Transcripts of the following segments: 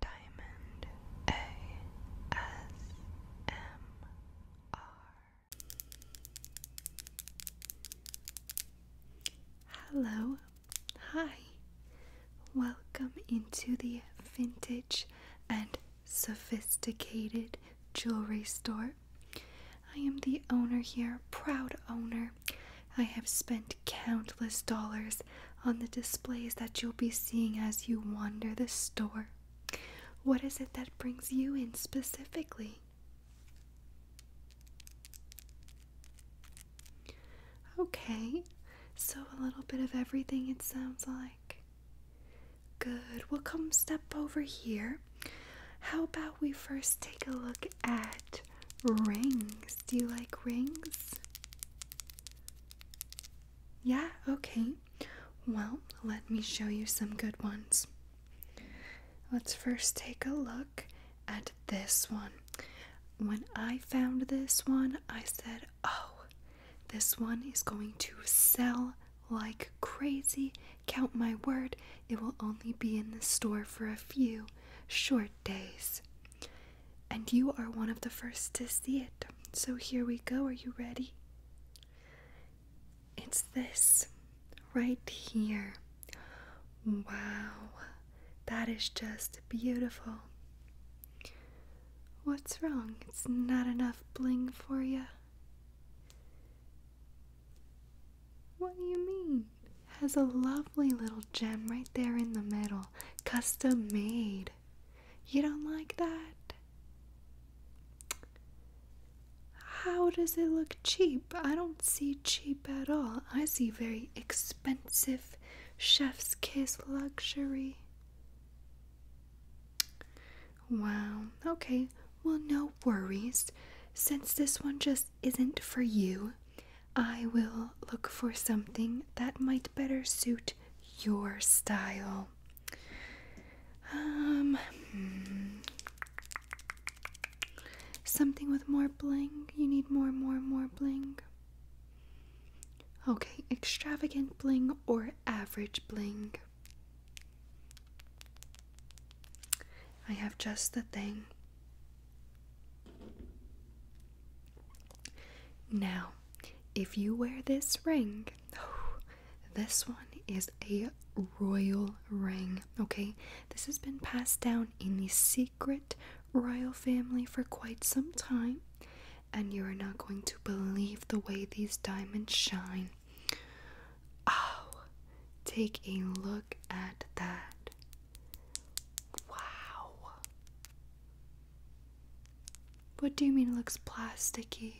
Diamond ASMR. Hello, hi, welcome into the vintage and sophisticated jewelry store. I am the owner here, proud owner. I have spent countless dollars on the displays that you'll be seeing as you wander the store. What is it that brings you in specifically? Okay, so a little bit of everything it sounds like. Good, we'll come step over here. How about we first take a look at rings? Do you like rings? Yeah, okay. Well, let me show you some good ones. Let's first take a look at this one. When I found this one, I said, oh, this one is going to sell like crazy. Count my word, it will only be in the store for a few short days and you are one of the first to see it. So here we go. Are you ready? It's this right here. Wow, that is just beautiful. What's wrong? It's not enough bling for you. What do you mean? has a lovely little gem right there in the middle custom made. You don't like that? How does it look cheap? I don't see cheap at all. I see very expensive chef's kiss luxury. Wow, okay, well, no worries. Since this one just isn't for you, I will look for something that might better suit your style. Um, hmm. Something with more bling. You need more, more, more bling. Okay, extravagant bling or average bling. I have just the thing. Now, if you wear this ring, this one is a royal ring, okay? This has been passed down in the secret royal family for quite some time, and you are not going to believe the way these diamonds shine. Oh, take a look at that. Wow. What do you mean it looks plasticky?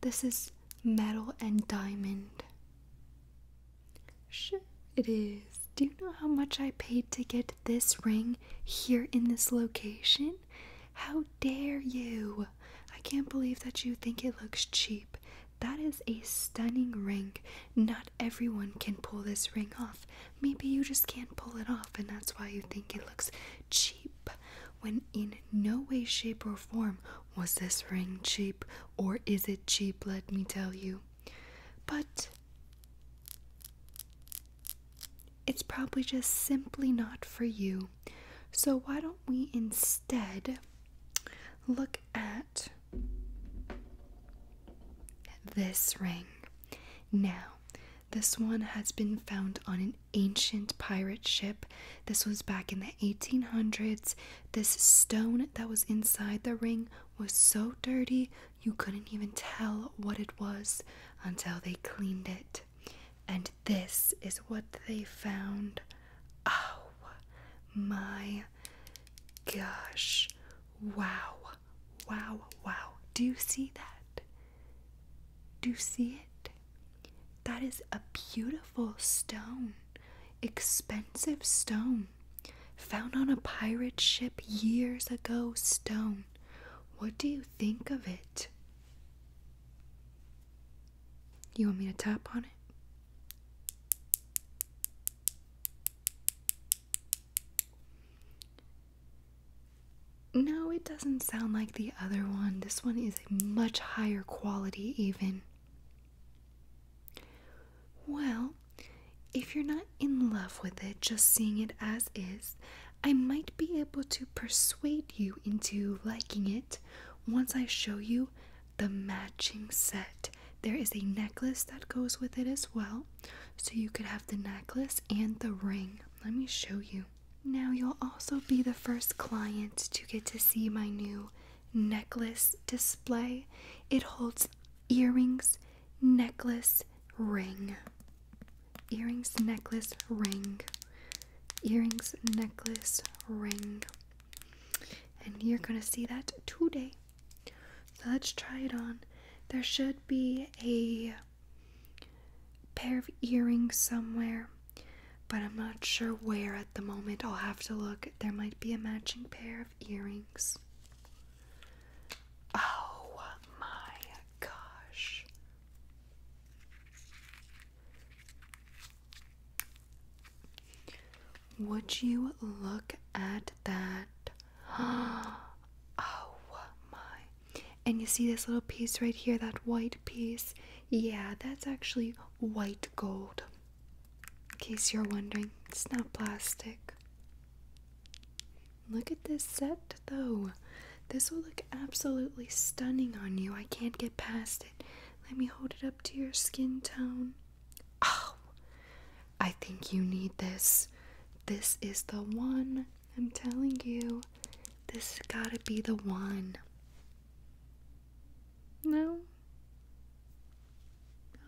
This is metal and diamond. Sure, it is. Do you know how much I paid to get this ring here in this location? How dare you! I can't believe that you think it looks cheap. That is a stunning ring, not everyone can pull this ring off. Maybe you just can't pull it off, and that's why you think it looks cheap. When in no way, shape, or form was this ring cheap, or is it cheap, let me tell you. But it's probably just simply not for you. So, why don't we instead look at this ring. Now, this one has been found on an ancient pirate ship. This was back in the 1800s. This stone that was inside the ring was so dirty you couldn't even tell what it was until they cleaned it. And this is what they found. Oh my gosh. Wow wow, wow. Do you see that? Do you see it? That is a beautiful stone, expensive stone, found on a pirate ship years ago. Stone. What do you think of it? You want me to tap on it? No, it doesn't sound like the other one. This one is a much higher quality, even. Well, if you're not in love with it, just seeing it as is, I might be able to persuade you into liking it once I show you the matching set there is a necklace that goes with it as well. So you could have the necklace and the ring. Let me show you. Now, you'll also be the first client to get to see my new necklace display. It holds earrings, necklace, ring. Earrings, necklace, ring. Earrings, necklace, ring. And you're going to see that today. So let's try it on. There should be a pair of earrings somewhere, but I'm not sure where at the moment. I'll have to look. There might be a matching pair of earrings. Oh my gosh. Would you look at that? oh my. And you see this little piece right here, that white piece? Yeah, that's actually white gold. In case you're wondering, it's not plastic. Look at this set though. This will look absolutely stunning on you. I can't get past it. Let me hold it up to your skin tone. Oh, I think you need this. This is the one. I'm telling you, this gotta be the one. No?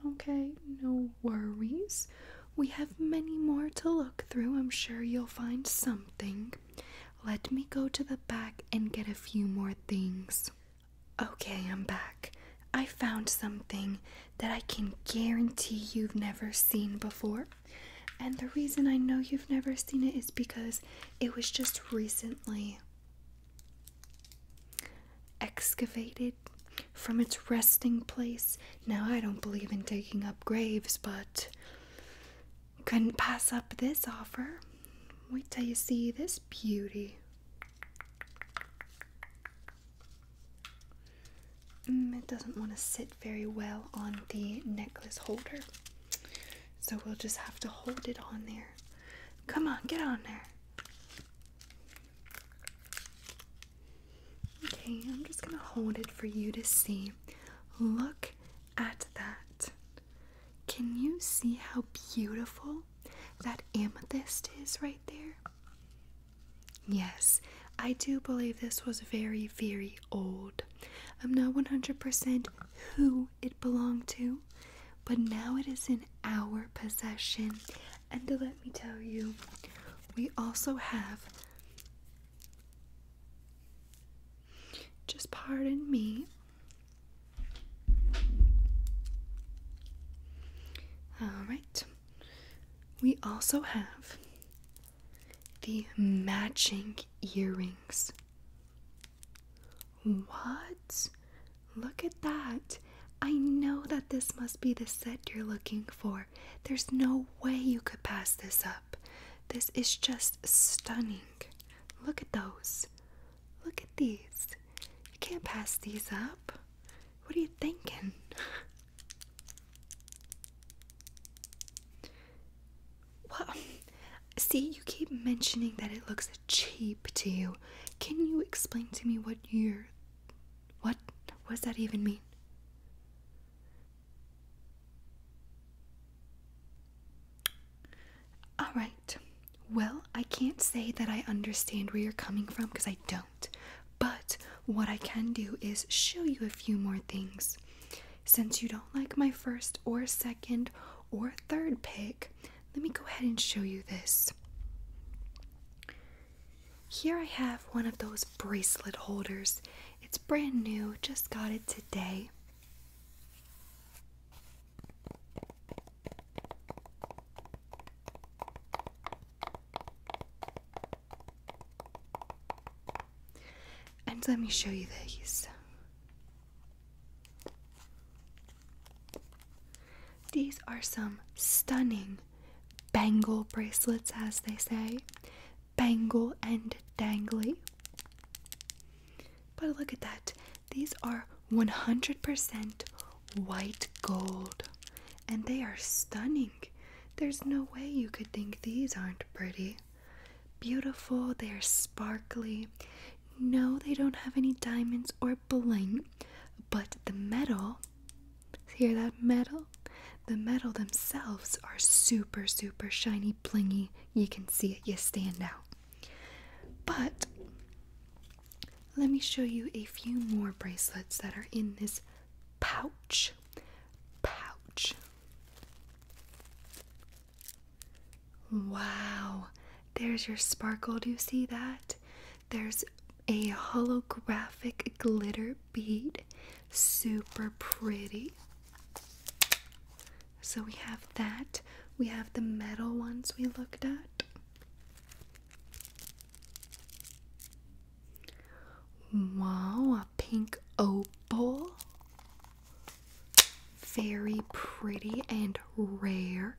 Okay, no worries. We have many more to look through. I'm sure you'll find something. Let me go to the back and get a few more things. Okay, I'm back. I found something that I can guarantee you've never seen before. And the reason I know you've never seen it is because it was just recently excavated from its resting place. Now, I don't believe in digging up graves, but couldn't pass up this offer. Wait till you see this beauty. Mm, it doesn't want to sit very well on the necklace holder. So we'll just have to hold it on there. Come on, get on there. Okay, I'm just going to hold it for you to see. Look at that. Can you see how beautiful that amethyst is right there? Yes, I do believe this was very, very old. I'm not 100% who it belonged to, but now it is in our possession. And let me tell you, we also have. Just pardon me. Alright. We also have the matching earrings. What? Look at that. I know that this must be the set you're looking for. There's no way you could pass this up. This is just stunning. Look at those. Look at these. You can't pass these up. What are you thinking? Well, see, you keep mentioning that it looks cheap to you. Can you explain to me what you're. What? What does that even mean? Alright, well, I can't say that I understand where you're coming from because I don't. But what I can do is show you a few more things. Since you don't like my first or second or third pick, let me go ahead and show you this. Here I have one of those bracelet holders. It's brand new, just got it today. And let me show you these. These are some stunning bangle bracelets, as they say. Bangle and dangly. But look at that these are 100% white gold and they are stunning. There's no way you could think these aren't pretty. Beautiful, they are sparkly. No, they don't have any diamonds or bling, but the metal, hear that metal? The metal themselves are super, super shiny, blingy. You can see it, you stand out. But let me show you a few more bracelets that are in this pouch. Pouch. Wow, there's your sparkle. Do you see that? There's a holographic glitter bead. Super pretty. So we have that. We have the metal ones we looked at. Wow, a pink opal. Very pretty and rare.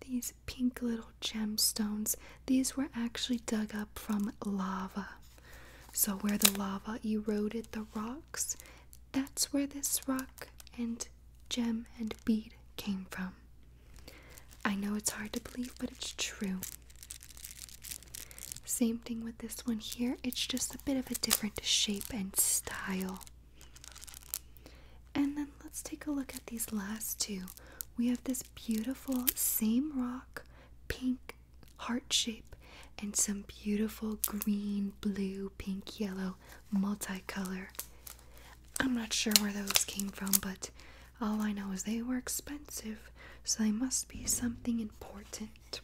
These pink little gemstones, these were actually dug up from lava. So, where the lava eroded the rocks that's where this rock and gem and bead came from. I know it's hard to believe, but it's true. Same thing with this one here, it's just a bit of a different shape and style. And then let's take a look at these last two. We have this beautiful same rock, pink heart shape, and some beautiful green, blue, pink, yellow, multicolor. I'm not sure where those came from, but all I know is they were expensive, so they must be something important.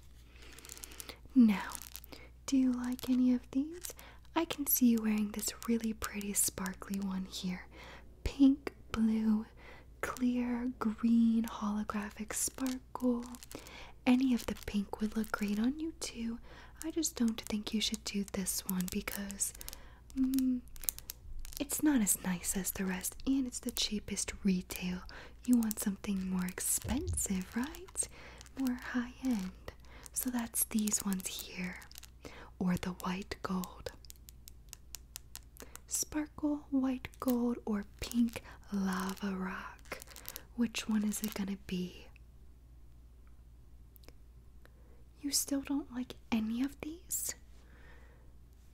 Now, do you like any of these? I can see you wearing this really pretty sparkly one here. Pink, blue, clear, green, holographic sparkle. Any of the pink would look great on you too. I just don't think you should do this one because mm, it's not as nice as the rest and it's the cheapest retail. You want something more expensive, right? More high end. So that's these ones here or the white gold. Sparkle, white gold, or pink lava rock. Which one is it gonna be? You still don't like any of these?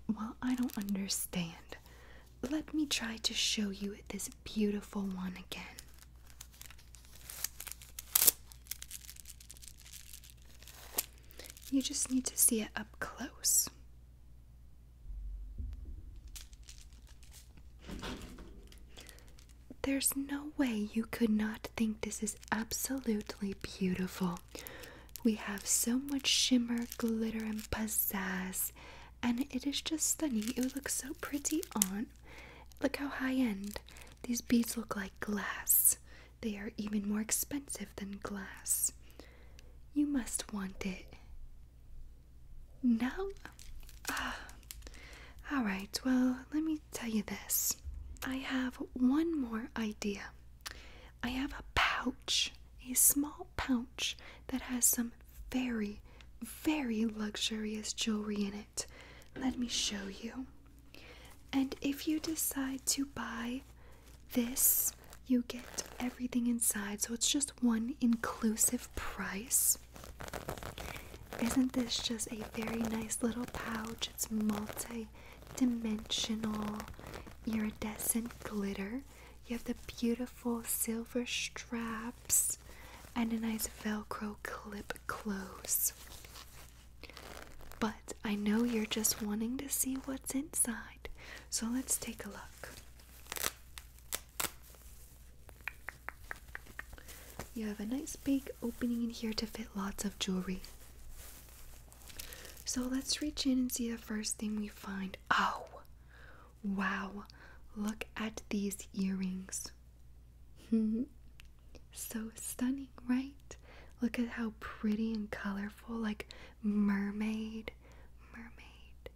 Well, I don't understand. Let me try to show you this beautiful one again. You just need to see it up close. There's no way you could not think this is absolutely beautiful. We have so much shimmer, glitter, and pizzazz, and it is just stunning. It looks so pretty on. Look how high end. These beads look like glass. They are even more expensive than glass. You must want it. No? Ah. Alright, well, let me tell you this. I have one more idea. I have a pouch, a small pouch that has some very, very luxurious jewelry in it. Let me show you. And if you decide to buy this, you get everything inside, so it's just one inclusive price. Isn't this just a very nice little pouch? It's multi dimensional iridescent glitter. You have the beautiful silver straps and a nice velcro clip close. But I know you're just wanting to see what's inside, so let's take a look. You have a nice big opening in here to fit lots of jewelry. So let's reach in and see the first thing we find. Oh, wow! Look at these earrings. so stunning, right? Look at how pretty and colorful, like mermaid, mermaid,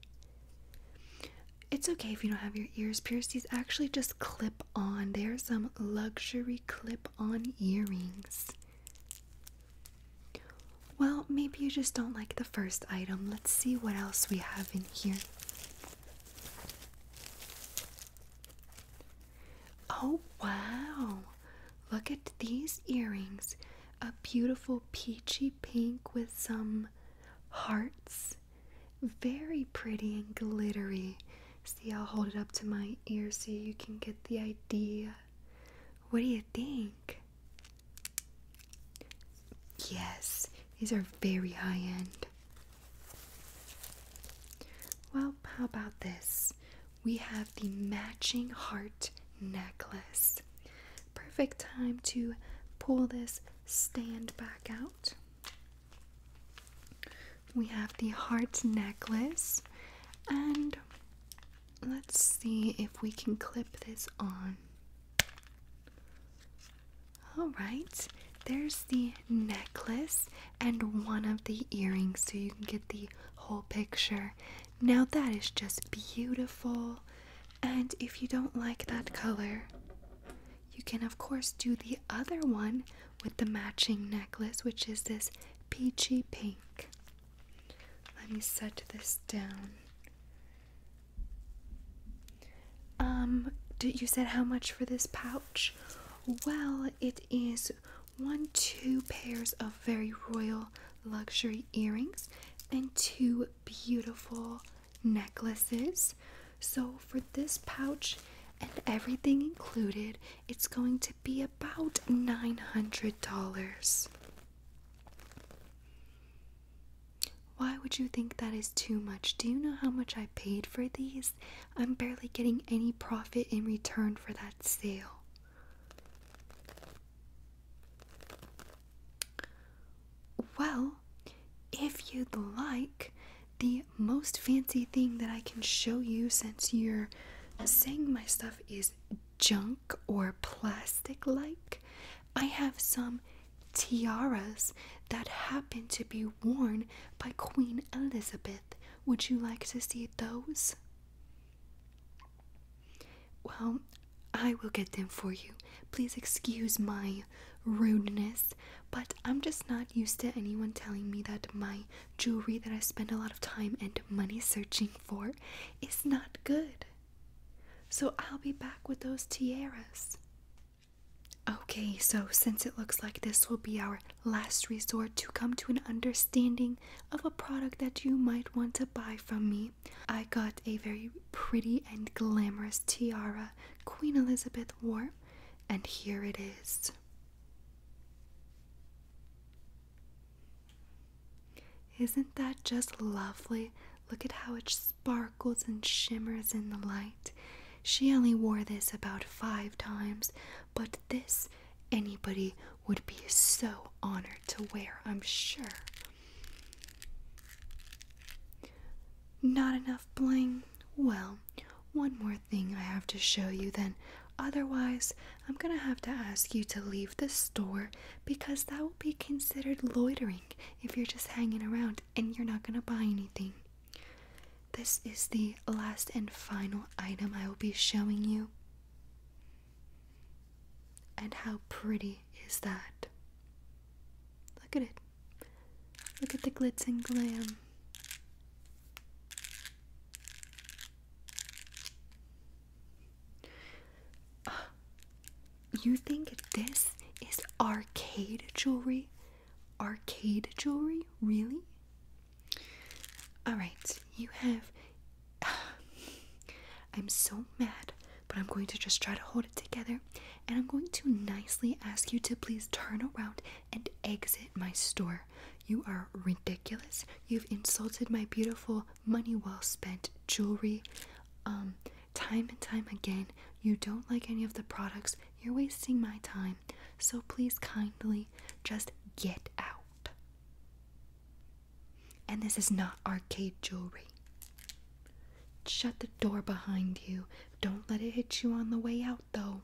it's okay if you don't have your ears pierced. These actually just clip on. They are some luxury clip on earrings. Well, maybe you just don't like the first item. Let's see what else we have in here. Oh, wow! Look at these earrings. A beautiful peachy pink with some hearts. Very pretty and glittery. See, I'll hold it up to my ear so you can get the idea. What do you think? Yes, these are very high end. Well, how about this? We have the matching heart necklace. Perfect time to pull this stand back out. We have the heart necklace, and let's see if we can clip this on. Alright, there's the necklace and one of the earrings so you can get the whole picture. Now that is just beautiful. And if you don't like that color, you can, of course, do the other one with the matching necklace, which is this peachy pink. Let me set this down. Um, you said how much for this pouch? Well, it is one, two pairs of very royal luxury earrings and two beautiful necklaces. So, for this pouch and everything included, it's going to be about $900. Why would you think that is too much? Do you know how much I paid for these? I'm barely getting any profit in return for that sale. Well, if you'd like, the most fancy thing that I can show you since you're saying my stuff is junk or plastic like, I have some tiaras that happen to be worn by Queen Elizabeth. Would you like to see those? Well, I will get them for you. Please excuse my rudeness, but I'm just not used to anyone telling me that my jewelry that I spend a lot of time and money searching for is not good. So I'll be back with those tiaras. Okay, so since it looks like this will be our last resort to come to an understanding of a product that you might want to buy from me, I got a very pretty and glamorous tiara, Queen Elizabeth wore, and here it is. Isn't that just lovely? Look at how it sparkles and shimmers in the light. She only wore this about five times, but this anybody would be so honored to wear, I'm sure. Not enough bling? Well, one more thing I have to show you then. Otherwise, I'm gonna have to ask you to leave the store because that will be considered loitering if you're just hanging around and you're not gonna buy anything. This is the last and final item I will be showing you. And how pretty is that? Look at it. Look at the glitz and glam. You think this is arcade jewelry? Arcade jewelry? Really? Alright, you have I'm so mad, but I'm going to just try to hold it together and I'm going to nicely ask you to please turn around and exit my store. You are ridiculous. You've insulted my beautiful, money well spent jewelry. Um, time and time again, you don't like any of the products. You're wasting my time. So please kindly just get out. And this is not arcade jewelry. Shut the door behind you. Don't let it hit you on the way out, though.